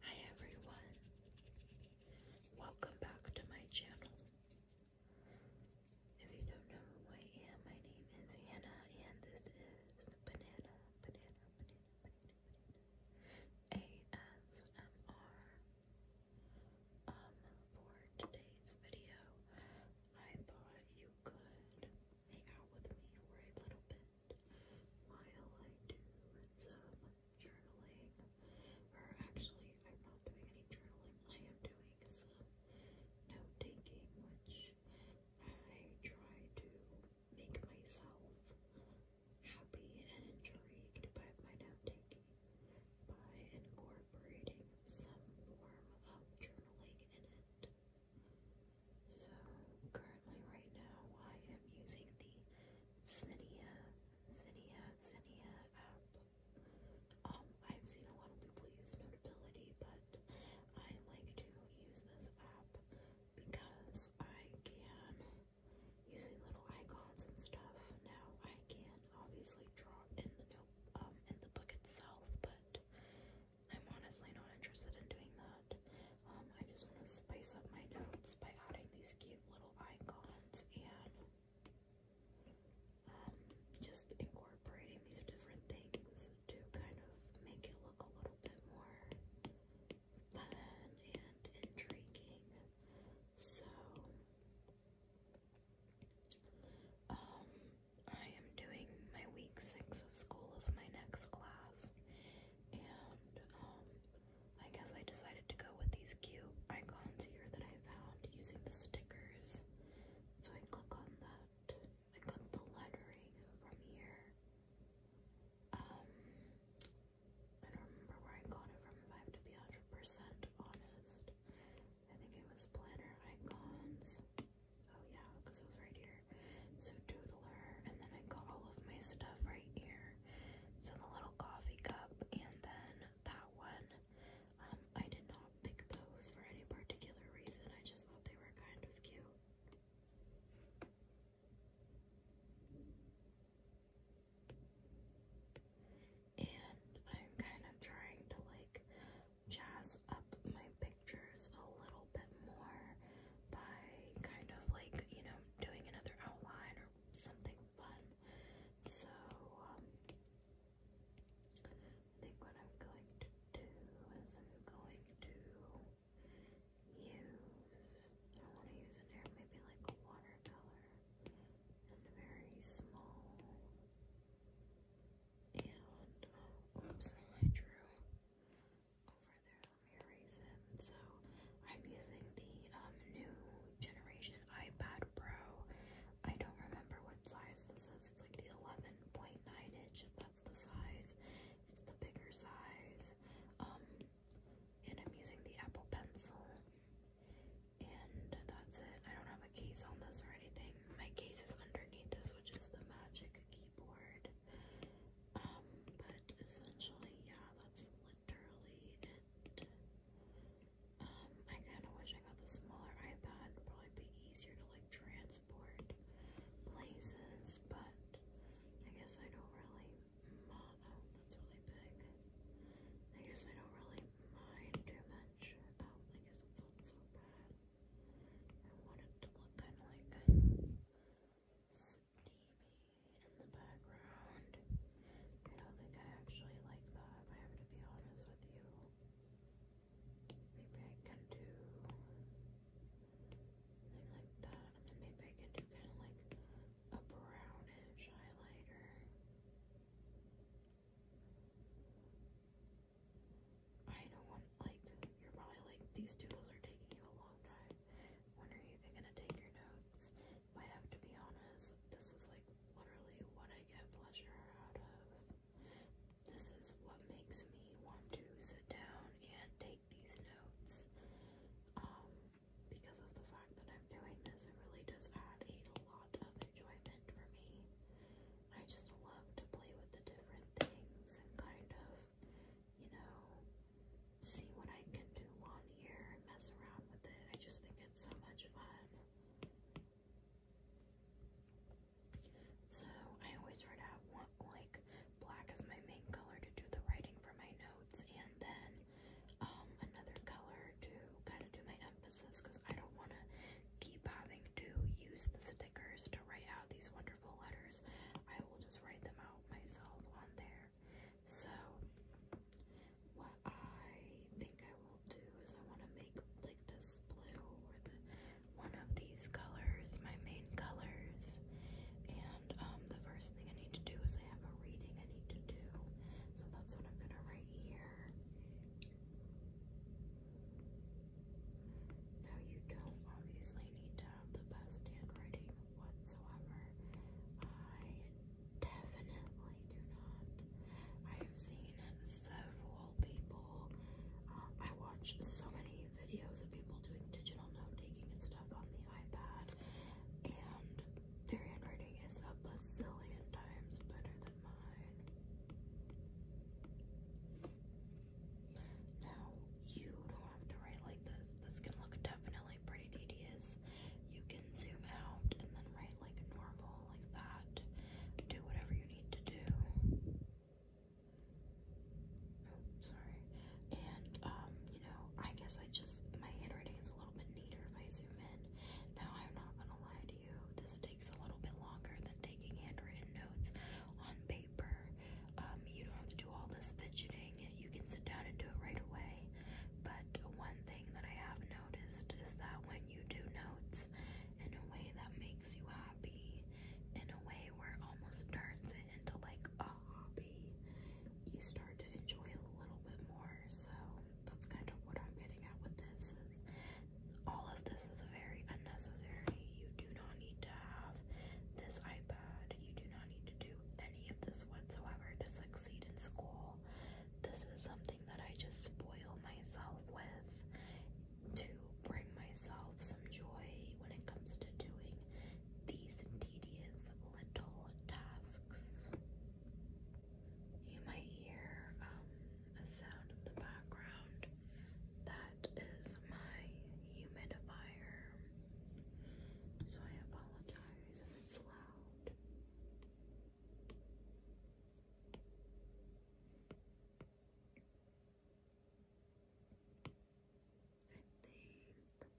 Hi everyone, welcome back to my channel. If you don't know who I am, my name is Hannah and this is Banana, Banana, Banana, ASMR. Um, for today's video, I thought you could hang out with me for a little bit while I do some journaling, or actually, I'm not doing any journaling, I am doing some note taking, which I try to make myself happy and intrigued by my note taking by incorporating some form of journaling in it. So currently right now I am using the Zinnia, Zinnia, Zinnia app. Um, I've seen a lot of people use Notability, but I like to use this app because I can, using little icons and stuff, now I can obviously draw in the note, um, in the book itself, but I'm honestly not interested in doing that. Um, I just want to spice up my notes by adding these cute little icons and um, just incorporating these different things to kind of make it look a little bit more fun and intriguing. So, um, I am doing my week six of school of my next class, and um, I guess I decided to go with these cute icons here that I found using the stickers. So I click on that. I got the lettering from here. Um, I don't remember where I got it from I have to be 100% honest. I think it was planner icons. Oh yeah, because it was right here. So Doodler, and then I got all of my stuff right here. So the little coffee cup, and then that one. Um, I did not pick those for any particular reason. I just thought they were kind of cute. And I'm kind of trying to like jazz up my pictures a little bit more by kind of like, you know, doing another outline or something fun. So, um, I think what I'm going to do is I'm going to use, I want to use an air, maybe like a watercolor, and a very small, and, oops, I drew over their Verizon. So I'm using the um, new generation iPad Pro. I don't remember what size this is. It's like the 11.9 inch, if that's the size. It's the bigger size. Um, and I'm using the Apple Pencil. And that's it. I don't have a case on this or anything. My case is underneath this, which is the Magic keyboard. Um, but essentially, yeah, that's literally it. Um, I kind of wish I got the smaller iPad. It'd probably be easier to like transport places, but I guess I don't really. Oh, that's really big. I guess I don't really mind too much. Oh, I guess it's not so bad. I want it to look kind of like. Slim in the background. I don't think I actually like that, I have to be honest with you. Maybe I can do like that, and then maybe I can do kind of like a brownish highlighter. I don't want, like, you're probably like, these doodles are taking you a long time. When are you gonna take your notes? I have to be honest, this is like literally what I get pleasure out of. This is what makes me want to sit down and take these notes. Um, because of the fact that I'm doing this, it really does add a lot of enjoyment for me. I just love to play with the different things and kind of you know, see what I can do on here and mess around with it. I just think it's so much fun. So I always write out one, like black is my main color to do the writing for my notes, and then um, another color to kind of do my emphasis because I don't want to keep having to use the stickers to write out these 100 letters. I will just write them out myself on there. So, what I think I will do is I want to make like this blue or the one of these colors, my main colors. And um, the first thing I need to do is I have a reading I need to do. So that's what I'm gonna write here. Now you don't obviously need to have the best handwriting whatsoever. I definitely do not. I have seen several people. Uh, I watch so many videos of people doing digital note taking and stuff on the iPad, and their handwriting is a bazillion times better than mine. Now, you don't have to write like this. This can look definitely pretty tedious. You can zoom out and then write like normal, like that. Do whatever you need to do. Oh, sorry. And, um, you know, I guess I just, my handwriting is a little bit neater if I zoom in. Now, I'm not gonna lie to you, this takes a little bit longer than taking handwritten notes on paper. Um, you don't have to do all this fidgeting. You can sit down and do it right away. But one thing that I have noticed is that when you do notes in a way that makes you happy, in a way where it almost turns it into like a hobby, you start to enjoy it a little bit more. So that's kind of what I'm getting at with this is all of this is very unnecessary. You do not need to have this iPad. You do not need to do of this whatsoever to succeed in school. This is something that I just spoil myself with to bring myself some joy when it comes to doing these tedious little tasks. You might hear um, a sound in the background. That is my humidifier. So I apologize if it's loud. I think like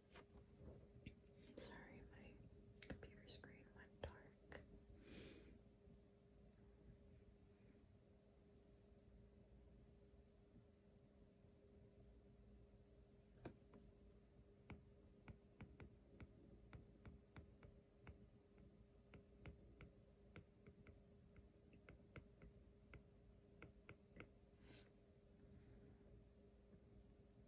Sorry, my computer screen went dark.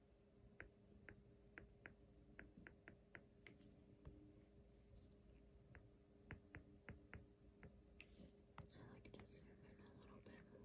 like to zoom in a little bit more.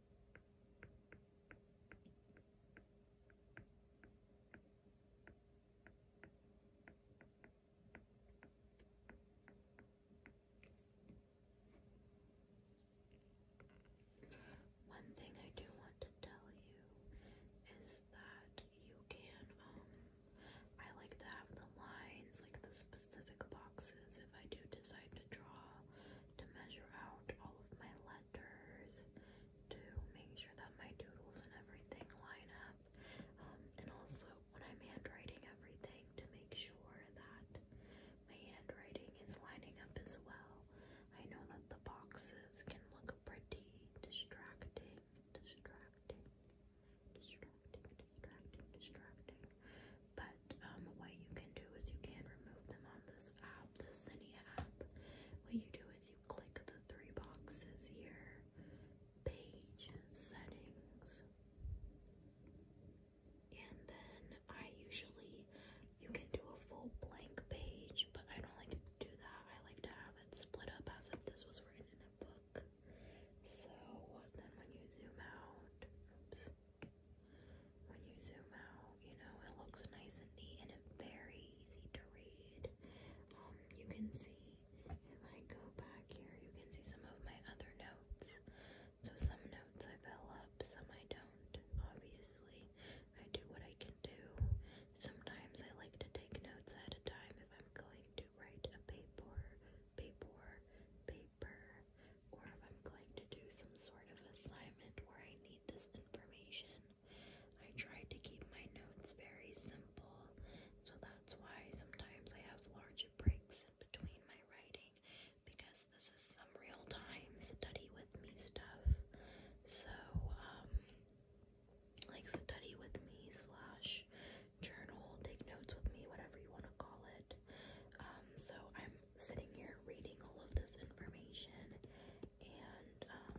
One thing I do want to tell you is that you can, um, I like to have the lines, like the specific boxes if I do decide to to draw, to measure out all of my letters, to make sure that my doodles and everything line up, um, and also when I'm handwriting everything to make sure that my handwriting is lining up as well. I know that the boxes can look pretty distracting, distracting, distracting, distracting, distracting. But um, what you can do is you can remove them on this app, the Zinnia app. What you do is you click the three boxes here, page settings, and then I usually you can do a full blank page, but I don't like to do that. I like to have it split up as if this was written in a book. So then when you zoom out, oops, when you zoom out, you know, it looks nice and neat and it's very easy to read. Um, you can see, if I go back here, you can see some of my other notes. So some notes I fill up, some I don't, obviously. I do what I can do. Sometimes I like to take notes at a time if I'm going to write a paper, paper, paper paper or if I'm going to do some sort of assignment where I need this information. I try to keep my notes very simple, so that's why sometimes I have larger breaks in between my writing because this is some real time study with me stuff. So, um, like study with me slash journal, take notes with me, whatever you want to call it. Um, so I'm sitting here reading all of this information, and um,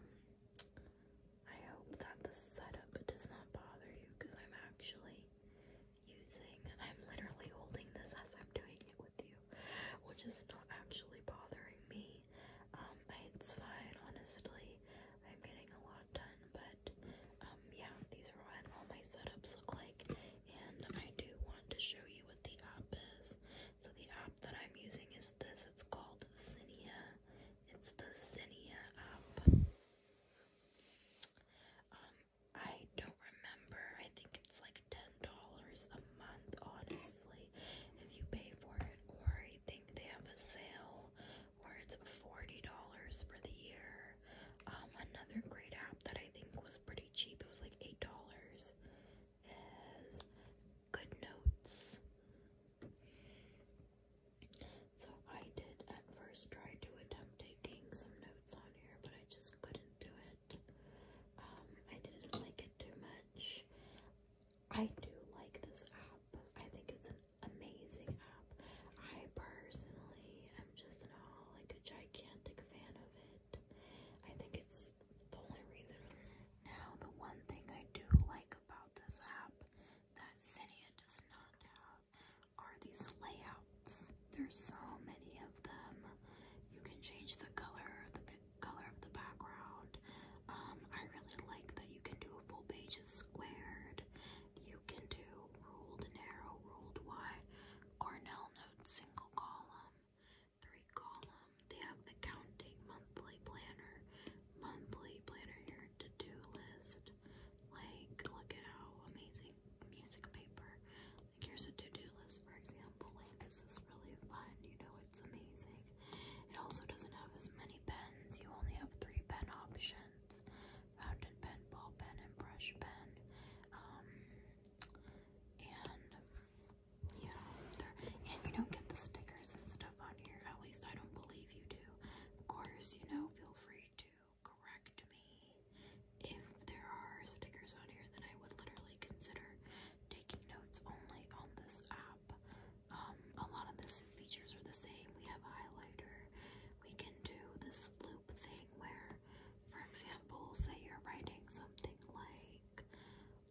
I hope that the setup does not bother you because I'm actually using, I'm literally holding this as I'm doing it with you, which is not actually bothering me. Um, it's fine, honestly. I'm getting a lot done, but um, yeah, these are what all my setups look like, and I do want to show you the app is. So the app that I'm using is this. It's called Zinnia. It's the Zinnia app. Um, I don't remember. I think it's like $10 a month, honestly, if you pay for it. Or I think they have a sale where it's $40 for the year. Um, another great app that I think was pretty cheap, it was like $8 as good notes. So I did at first try to attempt taking some notes on here, but I just couldn't do it. Um, I didn't like it too much. I do like this app. I think it's an amazing app. I personally am just in all like a gigantic fan of it. I think it's the only reason. Now, the one thing I do like about this app that Cinia does not have are these layouts. There's so many of them. You can change the color, the color of the background. Um, I really like that you can do a full page of squared. You can do ruled narrow, ruled wide, Cornell note, single column three column. They have accounting, monthly planner, monthly planner here, to-do list. Like, look at how amazing music paper. Like, here's a to-do list, for example. Like, this is really fun. You know, it's amazing. It also doesn't have as many pens. You only have three pen options. Fountain pen, ball pen, and brush pen. Um, and yeah, and you don't get the stickers and stuff on here. At least I don't believe you do. Of course, you know, feel free to correct me if there are stickers on here. Then I would literally consider taking notes only on this app. Um, a lot of these features are the same. We have highlighter. We can do this loop thing where, for example, say you're writing something like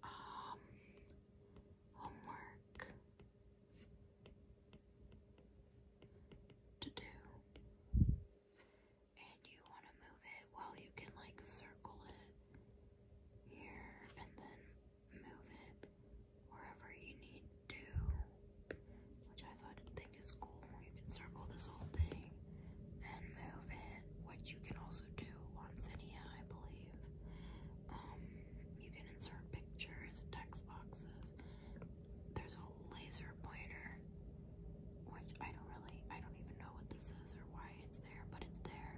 um homework to do and you want to move it well you can like circle it here and then move it wherever you need to which I thought think is cool you can circle this whole thing and move it, which you can also do on Cydia, I believe. Um, you can insert pictures, text boxes. There's a laser pointer, which I don't really, I don't even know what this is or why it's there, but it's there.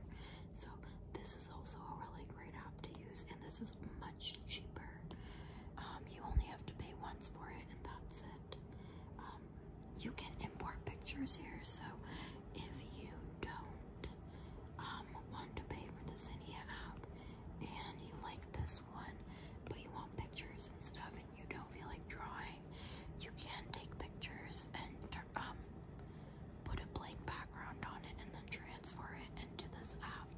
So this is also a really great app to use, and this is much cheaper. Um, you only have to pay once for it, and that's it. Um, you can import pictures here, so if you don't um, want to pay for the Zinnia app and you like this one, but you want pictures and stuff and you don't feel like drawing, you can take pictures and um, put a blank background on it and then transfer it into this app.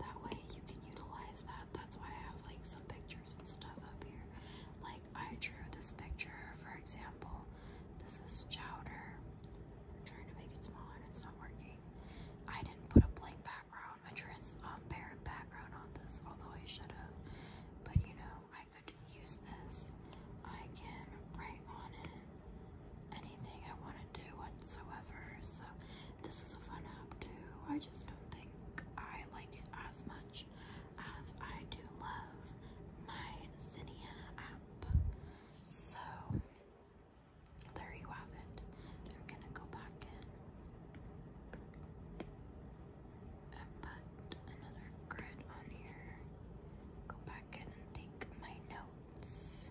That way you can utilize that. That's why I have like some pictures and stuff up here. Like I drew this picture, for example. This is chowder. I'm trying to make it smaller, and it's not working. I didn't put a blank background, a transparent um, background on this, although I should have. But you know, I could use this. I can write on it anything I want to do whatsoever. So this is a fun app too. I just don't think I like it as much as I do love my Zinnia app. So there you have it. They're gonna go back in and another grid on here. Go back in and take my notes.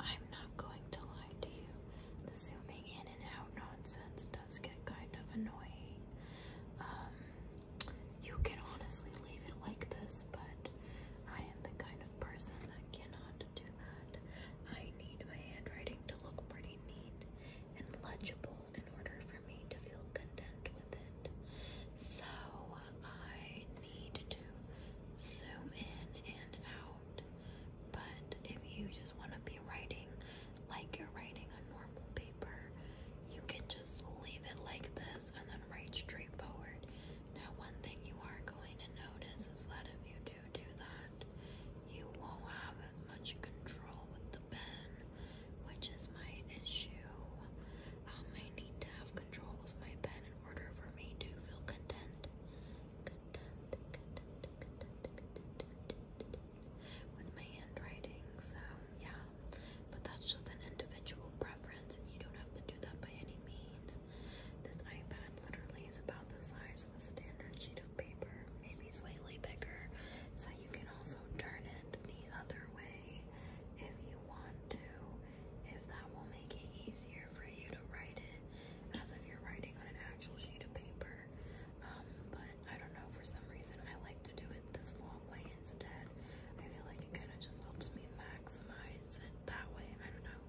I'm not going to lie lie to you. The zooming in and out nonsense does get kind of annoying. Um, you can honestly leave it like this, but I am the kind of person that cannot do that. I need my handwriting to look pretty neat and legible in order for me to feel content with it. So I need to zoom in and out but if you just want to be writing like you're writing on normal paper, you can just leave it like this and then write straight forward. Now, one thing you are going to notice is that if you do do that, you won't have as much control with the pen, which is my issue. Um, I need to have control of my pen in order for me to feel content with my handwriting. So yeah, but that's just an individual preference, and you don't have to do that by any means. This iPad literally is about the size of a standard sheet of paper, maybe slightly bigger. So you can also turn it the other way if you want to, if that will make it easier for you to write it as if you're writing on an actual sheet of paper. Um, but I don't know, for some reason I like to do it this long way instead. I feel like it kind of just helps me maximize it that way. I don't know.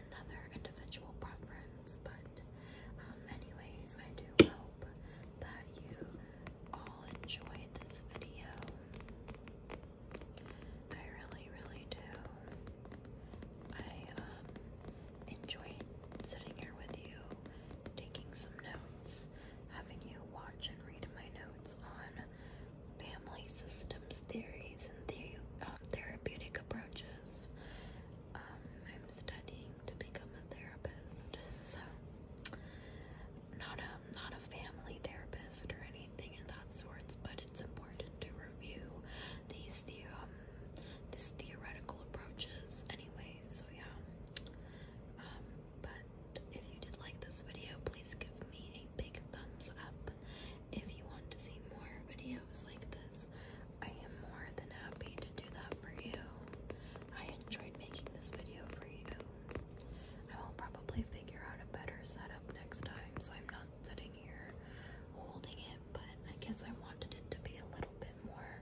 Another individual preference, but um, anyways, I do hope that you all enjoyed this video. I really, really do. I um enjoying sitting here with you, taking some notes, having you watch and read my notes on family systems theories and the, um, therapeutic approaches. Um, I'm studying to become a therapist, so not a not a family therapist or anything of that sorts, but it's important to review these the um this theoretical approaches anyway so yeah um, but if you did like this video please give me a big thumbs up if you want to see more videos like this I am more than happy to do that for you I enjoyed making this video for you I will probably figure out a better setup next time so I'm not sitting here holding it but I guess I wanted it to be a little bit more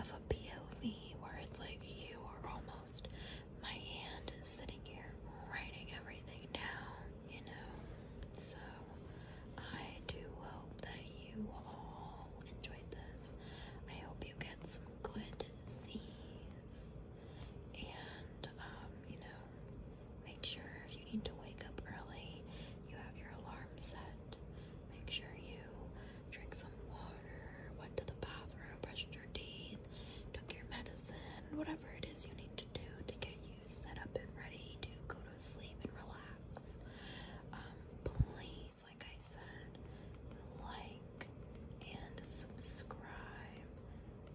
of a POV where it's like you are almost my hand is sitting here writing everything down, you know. So I do hope that you all enjoyed this. I hope you get some good C's and um, you know, make sure if you need to wake up early, you have your alarm set Make sure you drink some water, went to the bathroom, brushed your teeth, took your medicine, whatever it is you need to do to get you set up and ready to go to sleep and relax. Um, please, like I said, like and subscribe.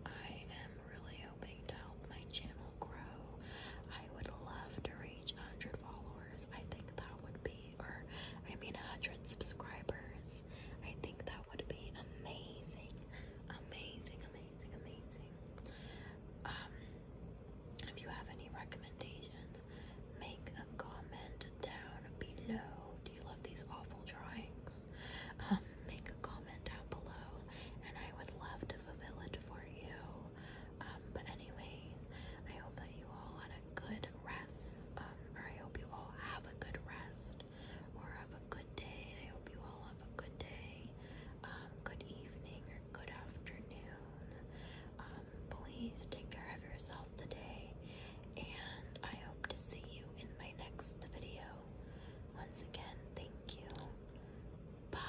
I am really hoping to help my channel grow. I would love to read 100 followers, I think that would be, or I mean 100 subscribers, I think that would be amazing, amazing, amazing, amazing. Um, if you have any recommendations, make a comment down below. Do you love these awful drawings? Um, make a comment down below, and I would love to fulfill it for you. Um, but anyways, I hope that you all had a good rest. Um, I hope you all have a good rest or have a good day. I hope you all have a good day, um, good evening or good afternoon. please take care of yourself today and I hope to see you in my next video. Once again, thank you. Bye.